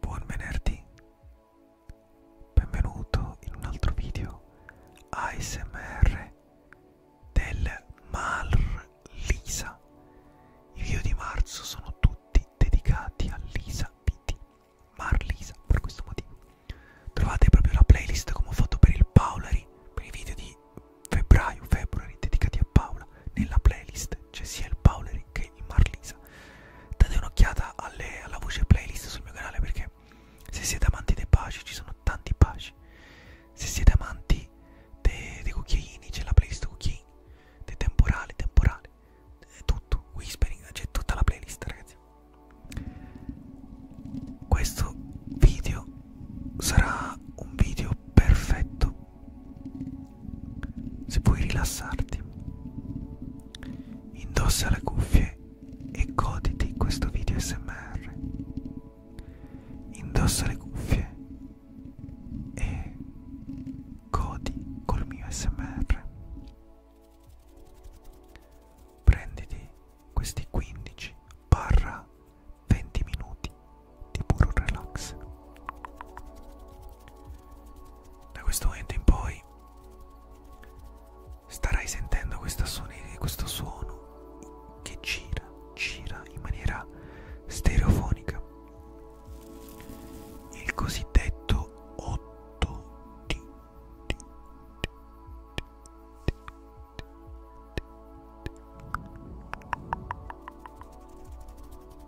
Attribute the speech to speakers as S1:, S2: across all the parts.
S1: Buon venerdì, benvenuto in un altro video ASMR del Mar Lisa. I video di marzo sono tutti dedicati a Lisa Pitti, Mar Lisa per questo motivo. Trovate proprio la playlist come ho fatto per il Paolari, per i video di febbraio, febbraio dedicati a Paola nella playlist presente, c'è cioè, sia il Paoleri che il Marlisa. Date un'occhiata alla voce playlist sul mio canale perché se siete amanti dei baci ci sono tanti baci. Se siete amanti dei, dei cucchiaini c'è la playlist cucchiaini, dei temporali, temporali, tutto, whispering, c'è tutta la playlist ragazzi. Questo video sarà un video perfetto se puoi rilassarti. Indossa le cuffie e goditi questo video SMR. Indossa le cuffie e godi col mio SMR. Prenditi questi 15 barra 20 minuti di puro relax da questo momento in poi starai sentendo suoni, questo suono che gira, gira in maniera stereofonica. Il cosiddetto 8D.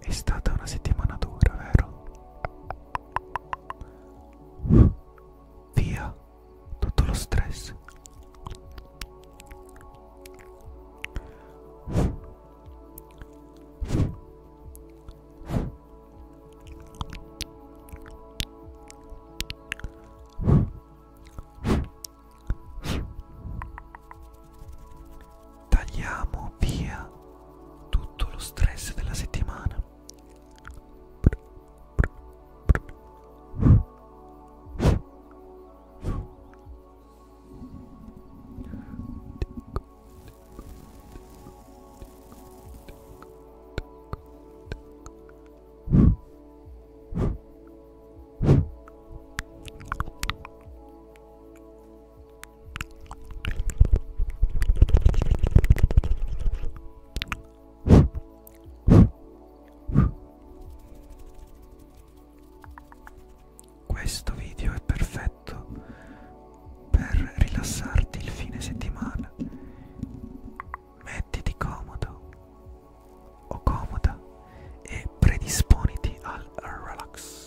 S1: È stata una settimana dura, vero? Via tutto lo stress. Tagliamo via tutto lo stress della settimana. Questo video è perfetto per rilassarti il fine settimana mettiti comodo o comoda e predisponiti al relax.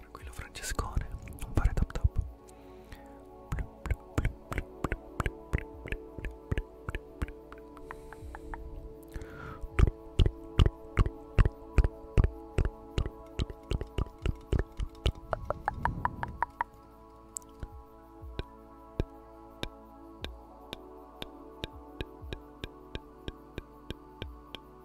S1: Tranquillo Francescone, non fare tap tap. Tranquillo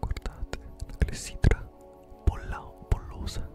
S1: Guardate la clessidra bolla, bollosa. Ecco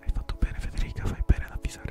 S1: Hai fatto bene Federica, fai bene ad avvisare.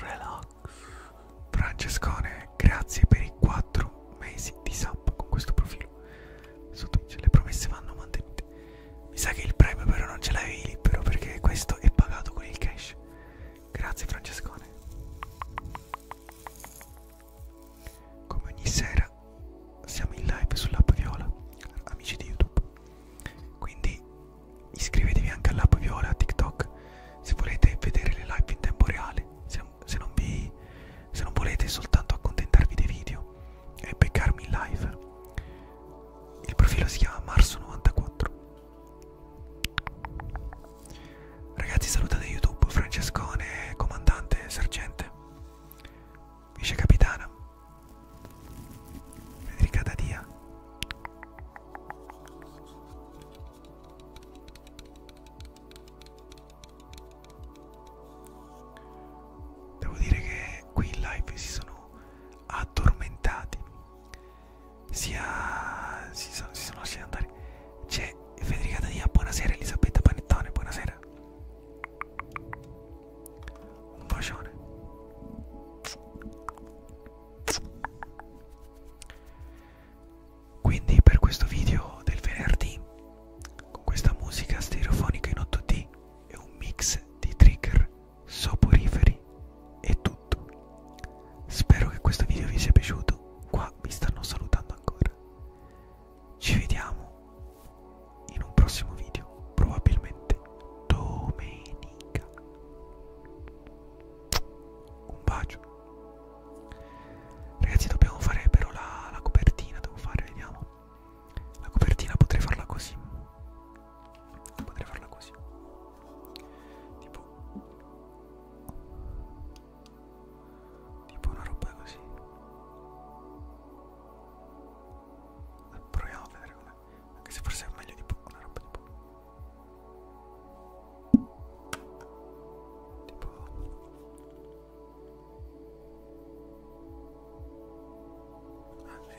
S1: Relax. Francescone, grazie per i 4 mesi di sub con questo profilo. Su Twitch le promesse vanno mantenute. Mi sa che il premio però non ce l'avevi libero perché questo è pagato con il cash. Grazie Francescone. Come ogni sera siamo in live sull'app Viola, amici di YouTube. Quindi iscrivetevi anche all'app Viola a TikTok se volete vedere le live in tempo reale, se, se, non, vi, se non volete soltanto accontentarvi dei video e beccarmi in live il profilo si chiama Marso94. Ragazzi, salutate YouTube Francescone, comandante, sergente, vice capitana, Federica Dadia. Devo dire che qui in live si sono siamo addormentati sia si sono, si sono lasciati andare c'è Federica Tania buonasera Elisabetta Panettone buonasera un bacione quindi per questo video del venerdì con questa musica stereofonica in 8D e un mix di trigger soporiferi e tutto. Spero che questo video vi sia piaciuto. Qua mi stanno salutando ancora. Ci vediamo in un prossimo video, probabilmente domenica. Un bacio. Ragazzi, dobbiamo fare però la, la copertina, devo fare, vediamo. La copertina potrei farla così. Potrei farla così. Tipo Tipo una roba così. Proviamo a vedere com'è. Anche se forse è meglio tipo una roba tipo Tipo Ah,